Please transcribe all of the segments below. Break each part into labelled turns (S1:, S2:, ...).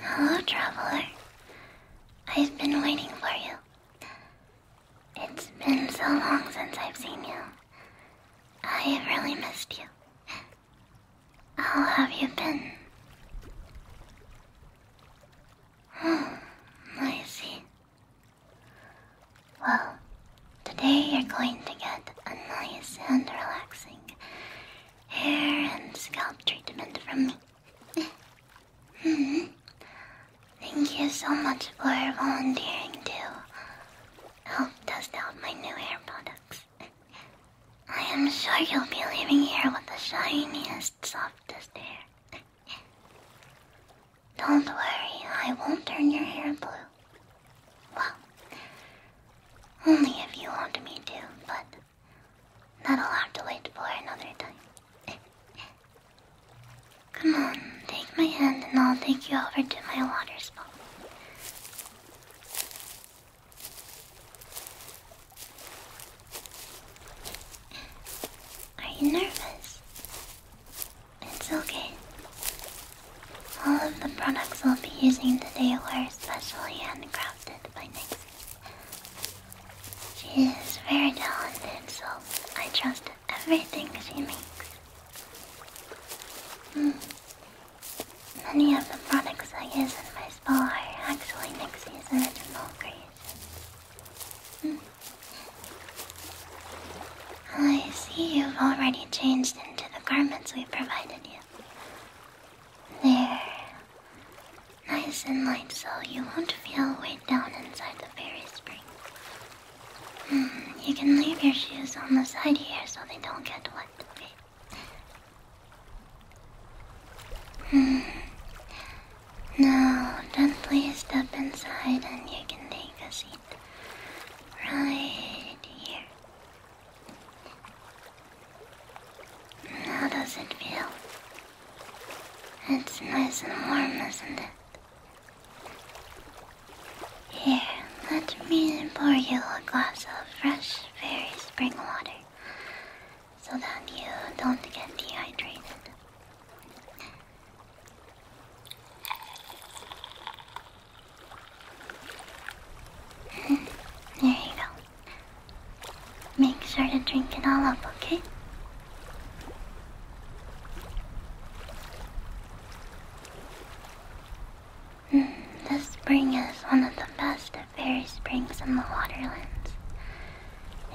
S1: Hello, traveler. I've been waiting for you. It's been so long since I've seen you. I have really missed you. How have you been? I see. Well, today you're going to get a nice and relaxing hair and scalp treatment from me. Mm-hmm. Thank you so much for volunteering to help test out my new hair products. I am sure you'll be leaving here with the shiniest, softest hair. Don't worry, I won't turn your hair blue. Well, only if you want me to, but that'll have to wait for another time. Come on, take my hand and I'll take you over to my water spot. Are you nervous? It's okay. All of the products I'll be using today were specially handcrafted by Nixie. She is very talented, so I trust everything she makes. Hmm. Many of the products I use in my spa are actually Nixie's original creations. I see you've already changed into the garments we provided you. They're nice and light so you won't feel weighed down inside the fairy spring. Hmm, you can leave your shoes on the side here so they don't get wet, hmm. No, then please step inside and you can take a seat. Right here. How does it feel? It's nice and warm, isn't it? Here, let me pour you a glass of fresh, very spring water so that you don't get dehydrated. there you go. Make sure to drink it all up, okay? Mm, this spring is one of the best of fairy springs in the waterlands.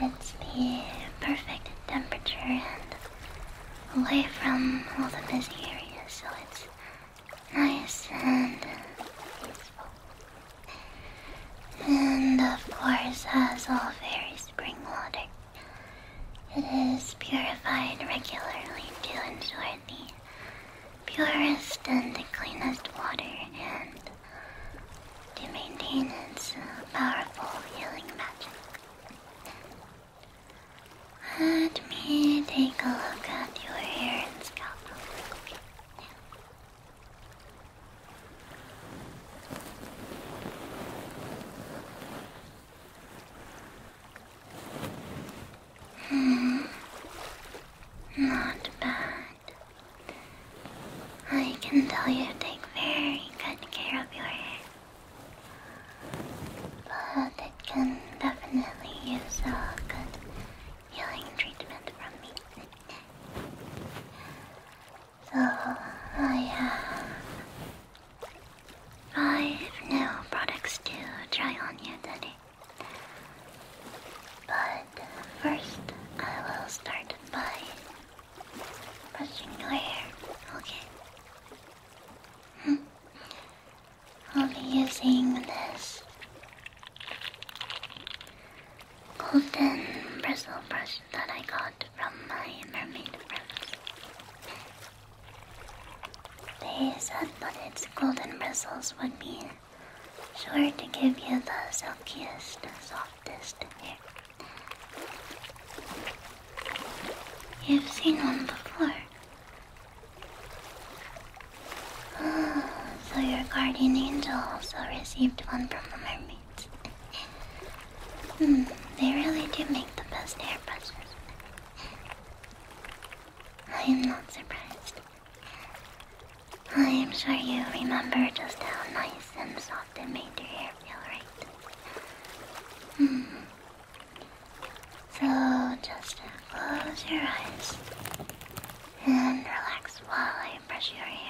S1: It's the perfect temperature and away from all the busy areas, so it's nice and peaceful. And of course, as all very spring water, it is purified regularly to ensure the purest and the cleanest water and to maintain its powerful healing magic. Let me take a look at your hair and scalp Hmm. Not bad. I can tell you take very good care of your hair. But it can definitely use a good healing treatment from me. So I uh, have new products to try on you today. But uh, first, I will start by brushing your hair. Okay. Hmm. I'll be using this golden bristle brush that I got from my mermaid friend. They said that its golden bristles would be sure to give you the silkiest, softest hair. You've seen one before. Oh, so your guardian angel also received one from the mermaids. Hmm, they really do make the best hairbrushes. I am not surprised. I am sure you remember just how nice and soft it made your hair feel, right? Hmm. So just close your eyes and relax while I brush your hair,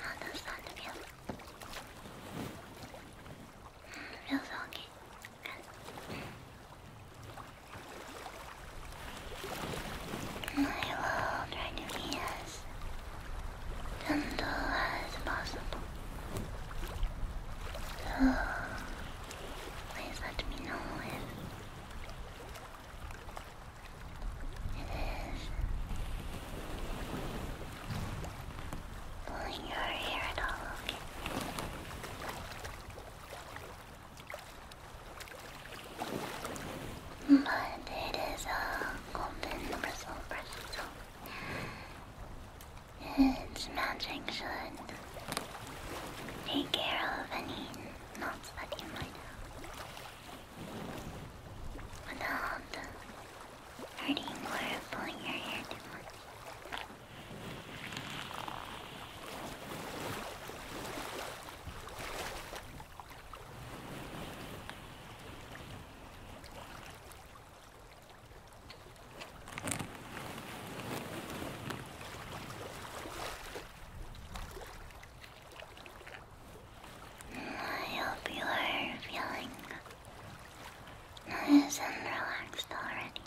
S1: How does that feel? Feels okay. I will try to be as gentle as possible. So Please let me know if it is pulling your hair at all, But it is a golden bristle bristle. Its magic should Take care of any knots that you might without um, hurting or pulling your hair too much. I hope you are feeling nice and relaxed already.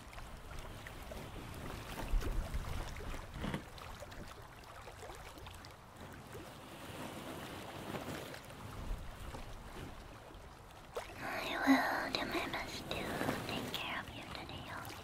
S1: I will do my best to take care of you today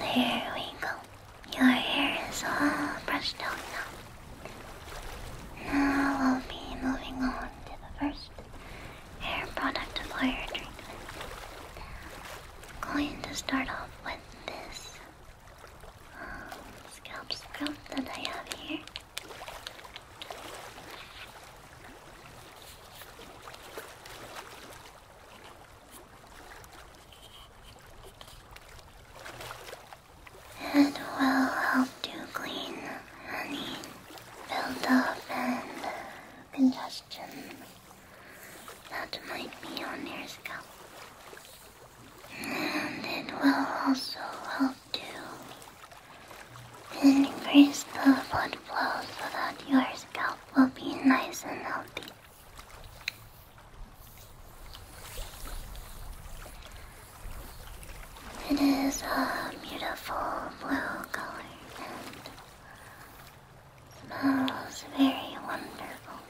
S1: There we go. Your hair is all brushed out now. Now we'll be moving on to the first hair product of our treatment. Going to start off with this um, scalp scrub that I have here. It will help to clean any buildup and congestion that might be on your scalp. And it will also help to increase the blood flow so that your scalp will be nice and healthy. It is a beautiful blue color and smells very wonderful.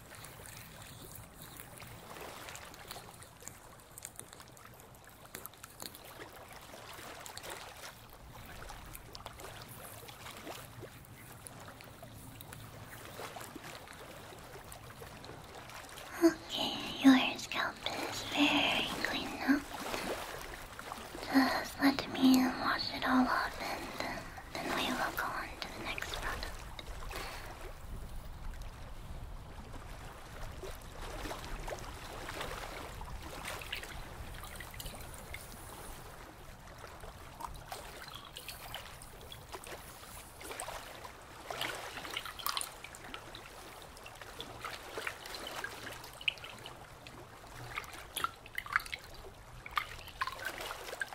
S1: Okay, your scalp is very clean now. Just let me wash it all off and uh, then we will go on to the next product.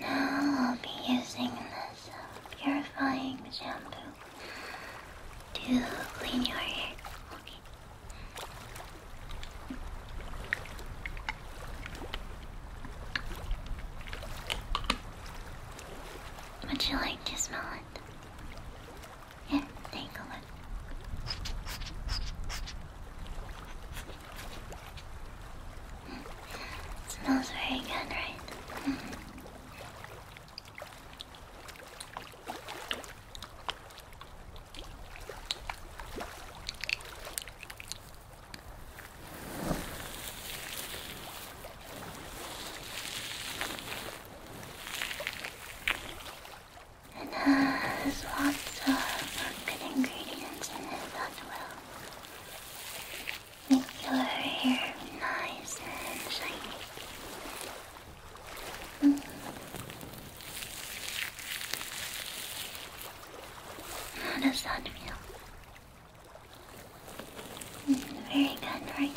S1: Now I'll be using this purifying shampoo to clean your hair. Would you like to smell it? Yeah, take a look. Mm. Smells very good, right? Hmm. It has lots of good ingredients in it that will make your hair nice and shiny. How does that feel? very good, right?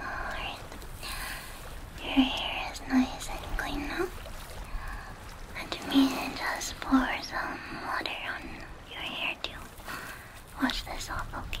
S1: Alright, your hair is nice and clean now. Let me just pour some water on your hair sure wash this off, okay?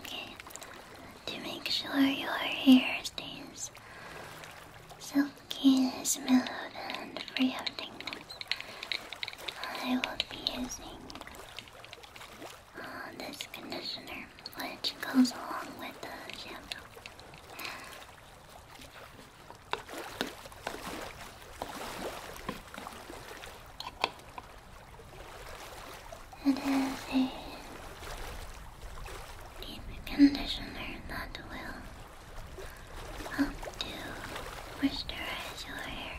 S1: Okay. To make sure your hair stays silky, smooth, and free of I will be using uh, this conditioner, which goes along with the shampoo. It is a deep conditioner that will help to moisturize your hair.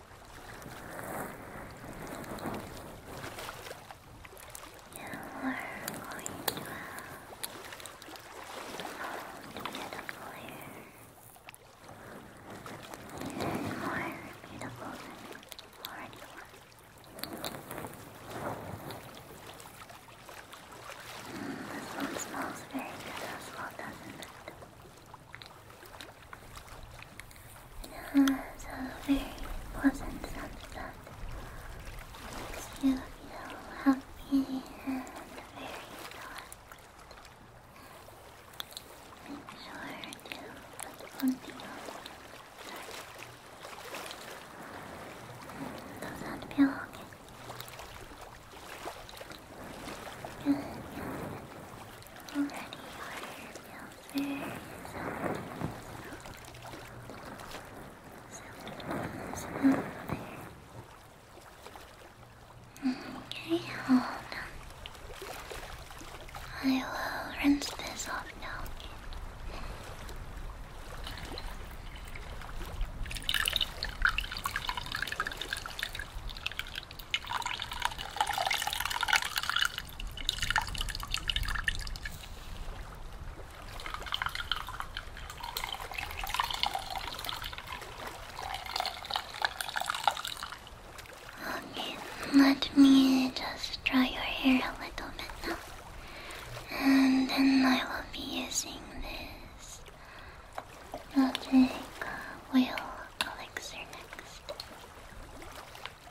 S1: You are going to have a beautiful hair. Even more beautiful than you this one smells very good it has a very pleasant sunset. Makes you happy and very relaxed. Make sure to put something on. Does that feel Good. Already your Okay, hold on. I will rinse this off now. Okay, let me just dry your hair a little bit now. And then I will be using this magic wheel elixir next.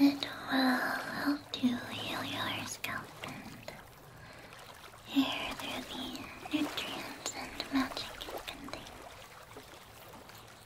S1: It will help you heal your scalp and hair through the nutrients and magic it contains.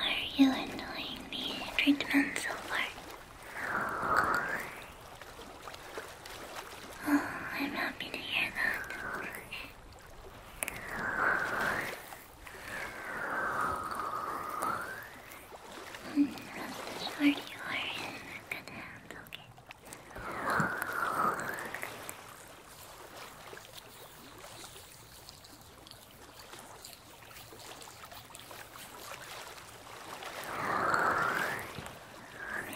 S1: Are you enjoying the treatment so far? Oh, I'm happy to hear that. I'm sure you are in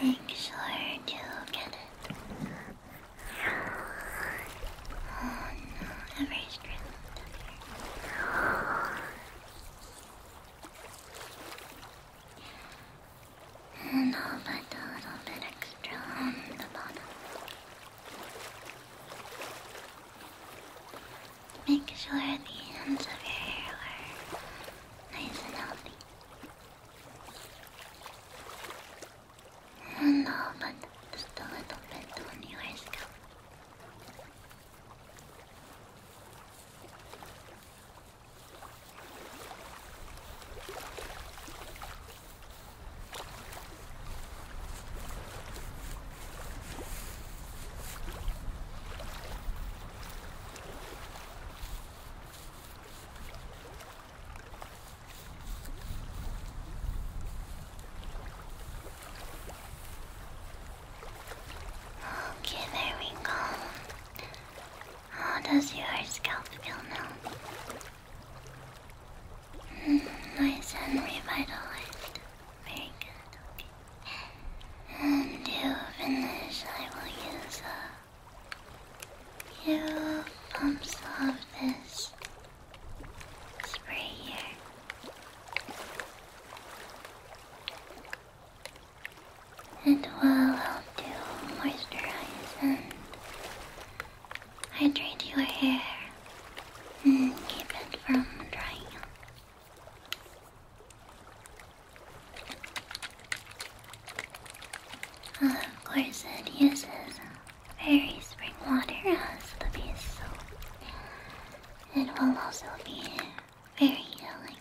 S1: Make sure to get it I'm very stressed out here. And I'll a little bit extra on the bottom. Make sure the ends of your hair are nice and healthy. No, but just a little bit on your scalp. Okay, there we go. How does your scalp feel now? Hmm, nice and revitalized. Very good. And to finish, I will use a few bumps of this spray here. and It will help to moisturize and hydrate your hair and keep it from drying of course, it uses very spring water as the base, so it will also be very healing.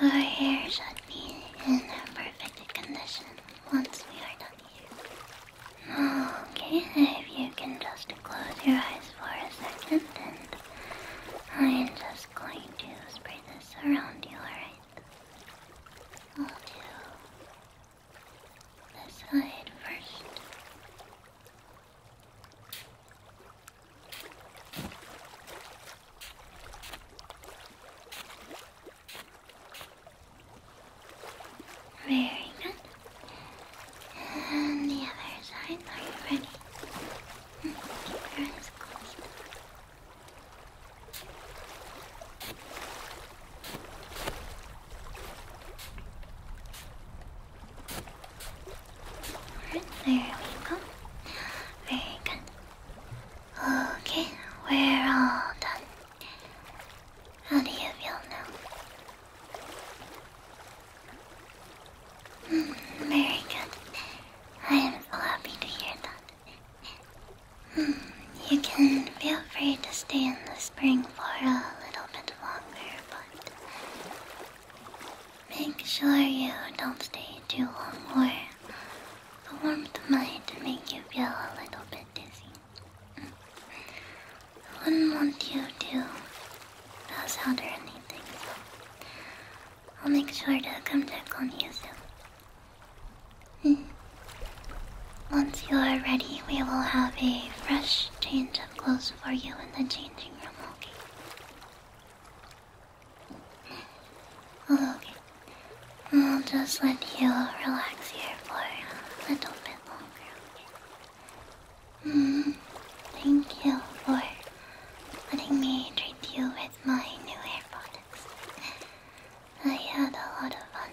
S1: Your hair should be in perfect condition once we are done here. Okay, if you can just close your eyes for a second and I am just going to spray this around you, alright? I'll do this side first. Very good. And the other side, are you ready? Hmm, keep your there we go. Very good. Okay, we're all done. How do you feel now? Very good. I am so happy to hear that. Hmm, you can feel free to stay in the spring for a little bit longer, but make sure you don't stay too long or the warmth might make you feel a little bit dizzy. Hmm. I wouldn't want you to pass out or anything, I'll make sure to come check on you soon. Hmm. Once you are ready, we will have a fresh change of clothes for you in the changing room, okay? okay. I'll just let you relax here for a little bit longer, okay? Mm, thank you for letting me treat you with my new hair products. I had a lot of fun.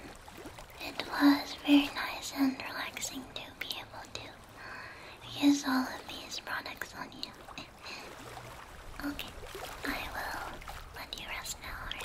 S1: It was very nice and relaxing to be able to use all of these products on you. okay, I will let you rest now,